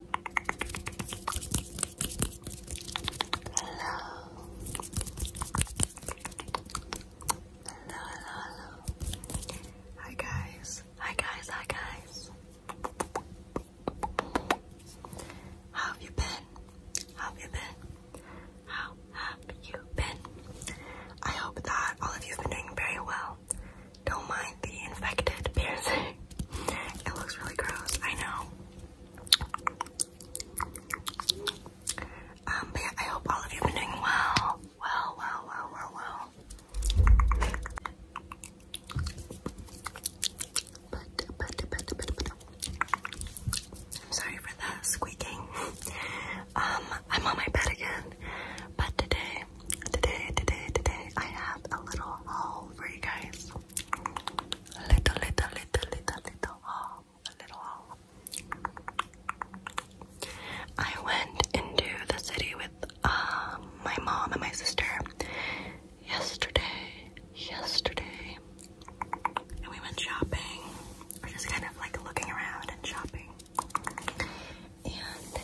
Hi guys. Hi guys, hi guys. How have you been? How have you been? How have you been? I hope that all of you have been doing very well. Don't mind the infected piercing. It looks really gross, I know. Um, but yeah, I hope all of you have been doing well. Well, well, well, well, well. But, but, but, but, but. I'm sorry for the squeaking. um, I'm on my bed again, but today today, today, today, I have a little haul for you guys. Little, little, little, little, little haul. A little haul. I went into the city with um, my mom and my sister yesterday. Yesterday. And we went shopping. We're just kind of like looking around and shopping. And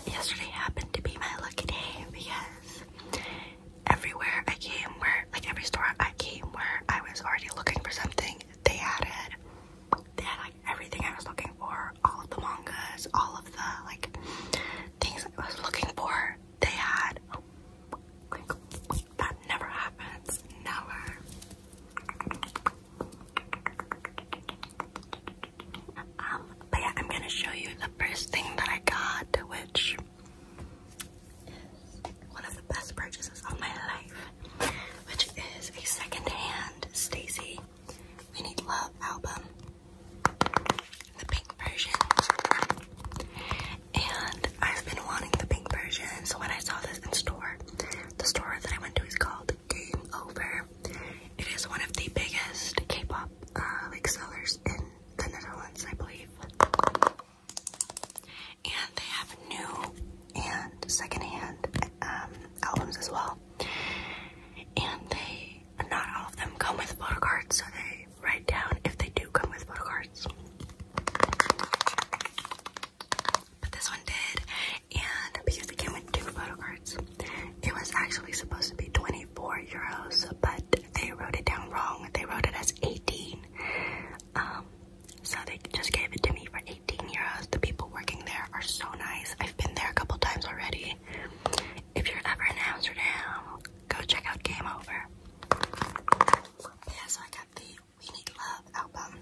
yesterday happened to be my lucky day because everywhere I came, where like every store I came where I was already looking for something, they added. They had like everything I was looking for, all of the mangas, all of the like things I was looking for. They had that never happens. Never. Um, but yeah, I'm gonna show you the first thing that I got, which is one of the best purchases of my life, which is a secondhand Stacy We Need Love album, the pink version. And I've been wanting the pink version, so when I saw this in store, the store that I went to is called Game Over. It is one of the biggest K-pop uh, like sellers in the Netherlands, I believe. And they have new and second-hand um, albums as well. And they, not all of them come with photo cards, so they write down if they do come with photo cards. But this one did, and because it came with two photo cards, it was actually supposed to be 24 euros, but they wrote it down wrong. They wrote it as 18. Um, so they just gave it to me for 18 euros. The people working there are so nice. I've been there a couple times already. If you're ever in Amsterdam, go check out Game Over. Yeah, so I got the We Need Love album.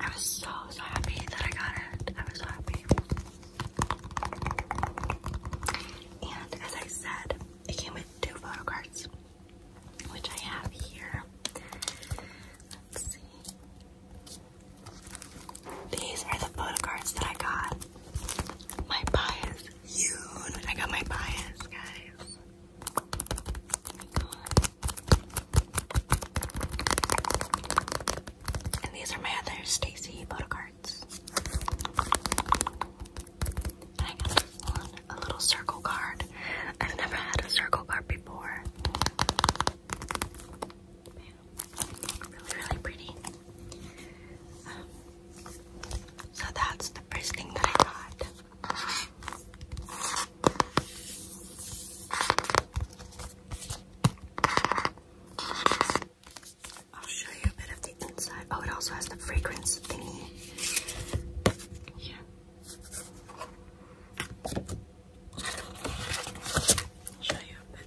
I was so, so happy that I got it. I was so happy. And as I said, it came with two photo cards, which I have here. These are the photo cards that I got. My bias, huge. I got my bias, guys. and these are my other Stacy photo cards. I got one, a little circle card. I've never had a circle card before. Really, really pretty. so that's the first thing that I got. I'll show you a bit of the inside. Oh, it also has the fragrance thingy. Yeah. show you a bit.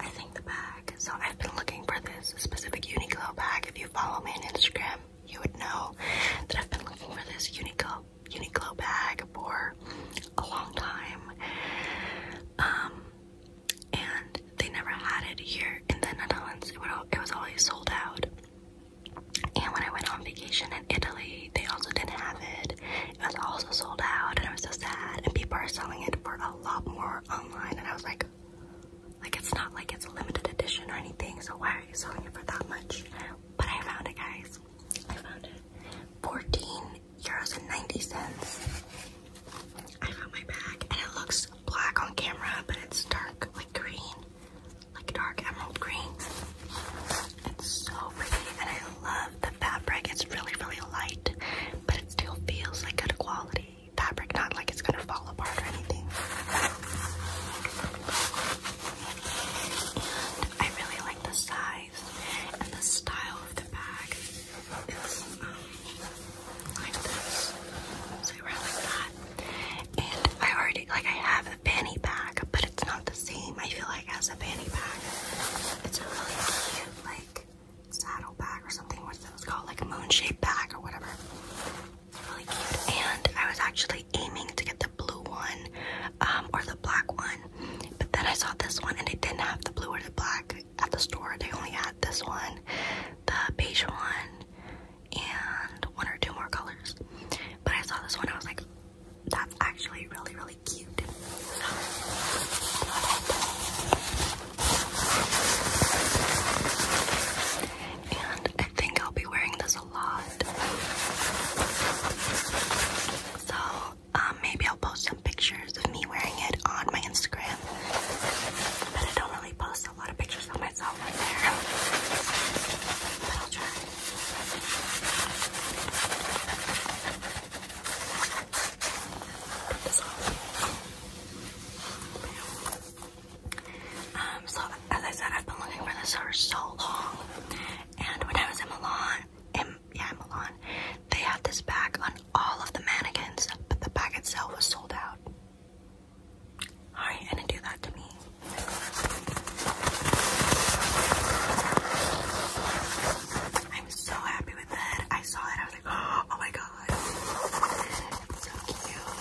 I think the bag. So I've been looking for this specific Uniqlo bag. If you follow me on Instagram, you would know that I've been looking for this Uniqlo Uniqlo bag for a long time. Um, and they never had it here in the Netherlands. it was always sold out. And when I went on vacation in Italy, they also didn't have it. It was also sold out, and I was so sad. And people are selling it for a lot more online, and I was like, like it's not like it's a limited edition or anything. So why are you selling it for that much? But I found it, guys. I found it. 14 euros and 90 cents. I found my bag, and it looks black on camera, but it's dark, like green, like dark emerald green. It's so pretty and I love the fabric. It's really, really light, but it still feels like good quality fabric, not like it's gonna fall apart or anything. And I really like the size and the style of the bag. It's um, like this. So I like that. And I already like I have a fanny bag, but it's not the same. I feel as a fanny pack. It's a really cute like saddle bag or something. What's those called? Like a moon shaped bag or whatever. really cute. And I was actually aiming to get the blue one um, or the black one, but then I saw this one and it didn't have the blue or the black at the store. They only had this one, the beige one, and one or two more colors. But I saw this one. I was like, that's actually really, really cute. And I think I'll be wearing this a lot. So um, maybe I'll post some pictures of me wearing it on my Instagram. But I don't really post a lot of pictures of myself right there. But I'll try. Um, so as I said, I've been looking for this for so long, and when I was in Milan, in, yeah, Milan, they had this bag on all of the mannequins, but the bag itself was sold out. Alright, and do that to me. I'm so happy with that. I saw it. I was like, oh my god. so cute.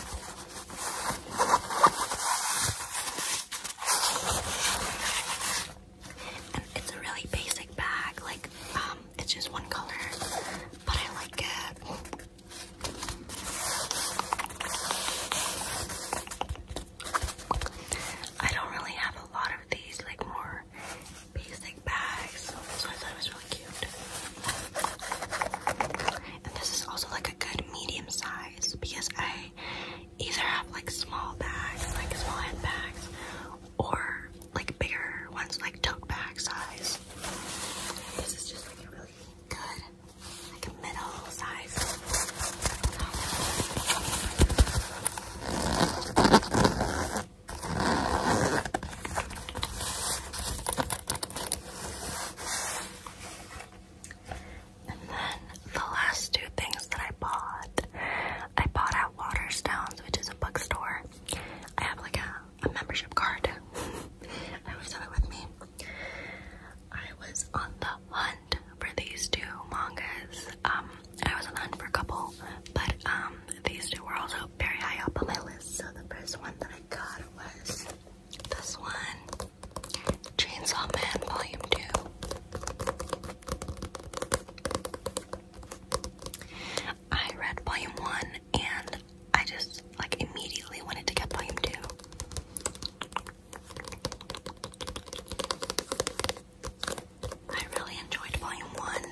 And it's a really basic bag. Like, um, it's just one color. But I like it. I don't really have a lot of these like more basic bags. So I thought it was really cute. And this is also like a good medium size because I either have like small bags, like small handbags, or like bigger ones like tote bag size. This is just like a really good, like a middle size and then the last two things that I bought, I bought at Waterstones, which is a bookstore. I have like a, a membership card. I always have it with me. I was on the hunt for these two mangas. Um, I was on hunt for a couple, but um, these two were also very high up on my list. So the first one that I got was this one, Chainsaw Man Volume Two. I read Volume One, and I just like immediately wanted to get Volume Two. I really enjoyed volume one.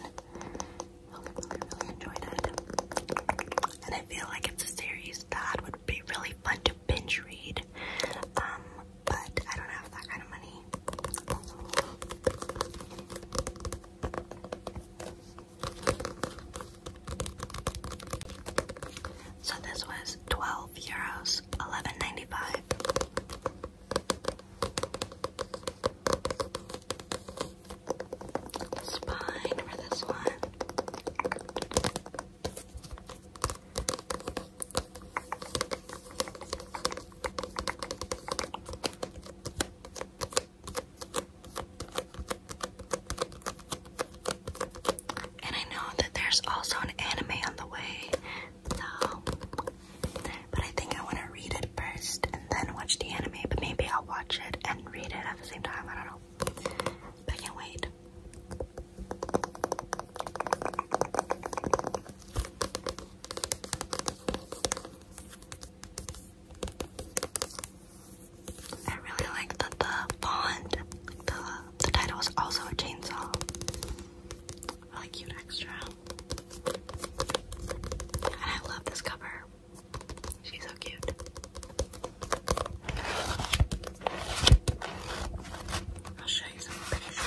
I really, really enjoyed it. And I feel like it's a series that would be really fun to binge read. Um, but I don't have that kind of money. So this was 12 euros was Spine for this one. And I know that there's also an anime on the way so, but I think I want to read it first and then watch the anime. But maybe I'll watch it and read it at the same time. I don't know. I can't wait. I really like that the font, the, the title is also a chainsaw. Really cute extra. And I love this cover. She's so cute. I'll show you some pictures.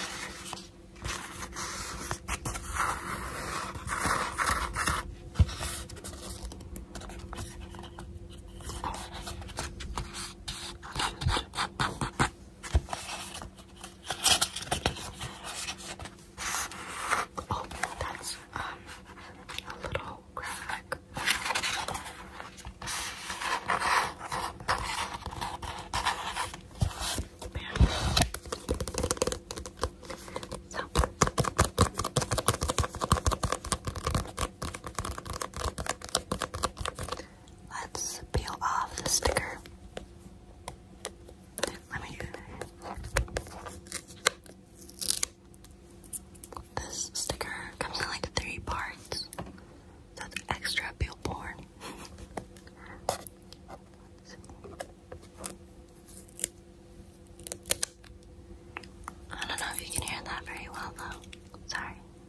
Oh, that's um a little graphic. So Let's peel off the sticker. Let me This sticker comes in like three parts. So it's extra peel I don't know if you can hear that very well though. Sorry.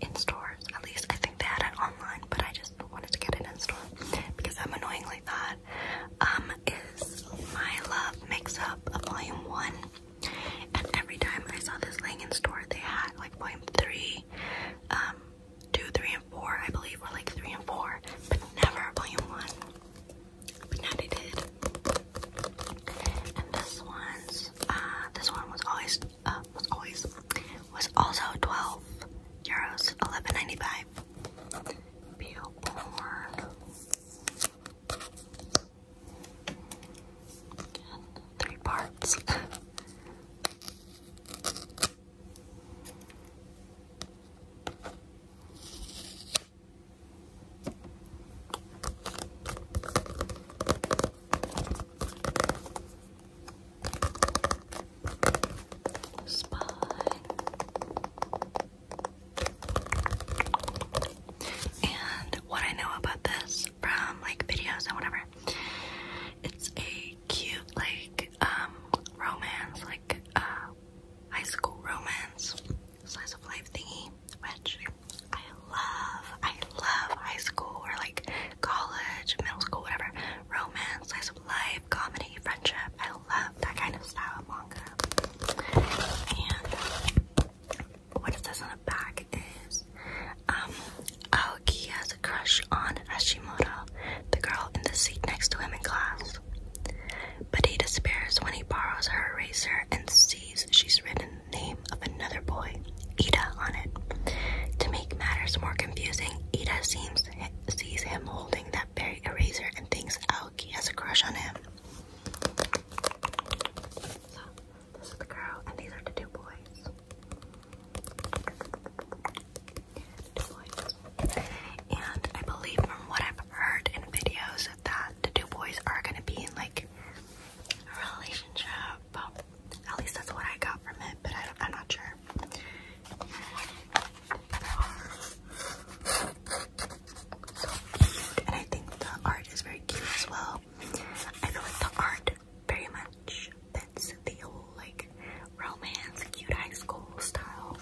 in stores. At least I think they had it online, but I just wanted to get it in store because I'm annoying like that. Um, My Love Makes Up Volume 1. And every time I saw this laying in store, they had like Volume 3, um, and 4, I believe, were like 3 and 4, but never Volume 1. But now they did. And this one's, uh, this one was always um, was also 12 euros 11.95 Billboard three parts Spy. And what I know about this from like videos and whatever, it's a cute like um romance, like uh high school romance slice of life thingy, which I love. I love high school or like college, middle school, whatever. Romance, slice of life, comedy, friendship. I love that kind of style of manga. And what is this on the back is Aoki um, oh, has a crush on Hashimoto, the girl in the seat next to him in class. But he despairs when he borrows her eraser and sees she's written name." of another boy, Ida, on it. To make matters more confusing, Ida seems sees him holding that berry eraser and thinks Alki oh, has a crush on him. So, this is the girl, and these are the two boys. And I believe from what I've heard in videos that the two boys are going to be in like a relationship. At least that's what I got from it, but I, am not sure. and I think the art is very cute as well. I feel the art very much fits the like romance, cute high school style.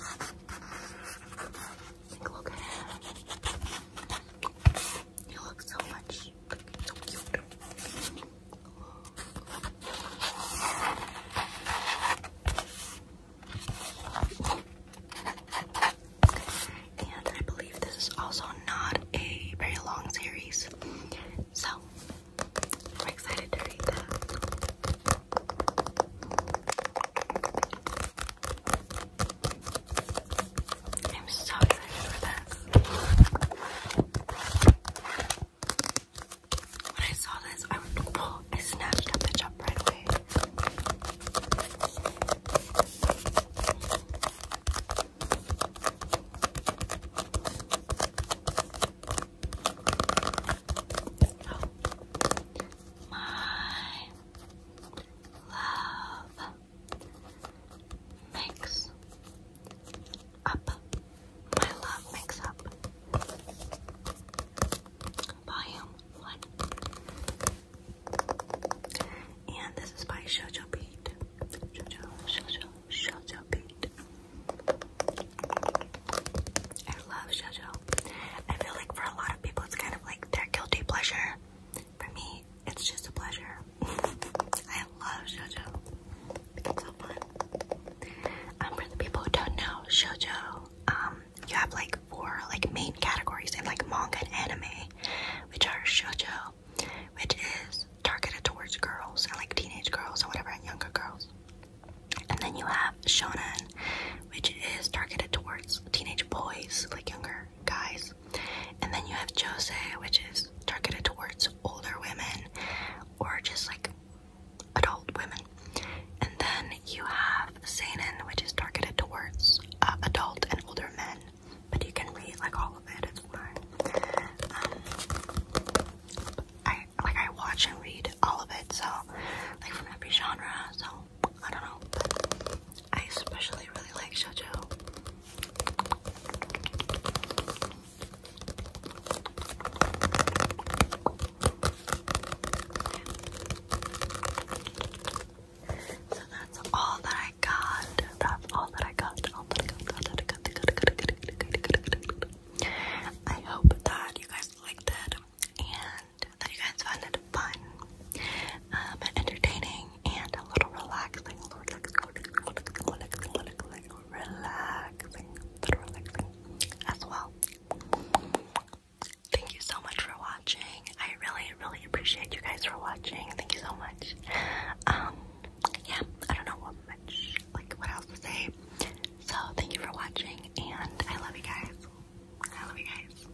look at it. You look so much. So cute. And I believe this is also not a very long series. So I'm excited to read that. I'm so excited for this. When I saw this, I, oh, I snatched that bitch right away. Oh. my love. Mix Up. My love mix up. Volume 1. And this is by Shoujo Beat. Shoujo, Shoujo, Shoujo Beat. I love Shoujo. I feel like for a lot of people it's kind of like their guilty pleasure. For me, it's just a pleasure. I love shoujo. It's so fun. Um, for the people who don't know, shoujo, um, you have like four like main categories in like manga and anime, which are shoujo, which is targeted towards girls and like teenage girls and whatever and younger girls. And then you have shonen, which is targeted towards teenage boys, like younger guys. And then you have Jose, which is targeted towards older women or just like adult women. And then you have Seinen, which is targeted towards uh, adult and older men. But you can read like all of it, it's fine. Um, I like I watch and read all of it, so like from every genre, so I don't know. I especially really like shoujo. So that's all that I got. That's all that I got. All that I got. All that I got. I hope that you guys liked it and that you guys found it fun um, and entertaining and a little relaxing. Relaxing, relaxing, relaxing, relaxing as well. Thank you so much for watching. I really, really appreciate you guys for watching. Thank you so much. Um, yeah, I don't know what much, like, what else to say. So, thank you for watching, and I love you guys. I love you guys.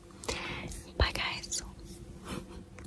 Bye, guys.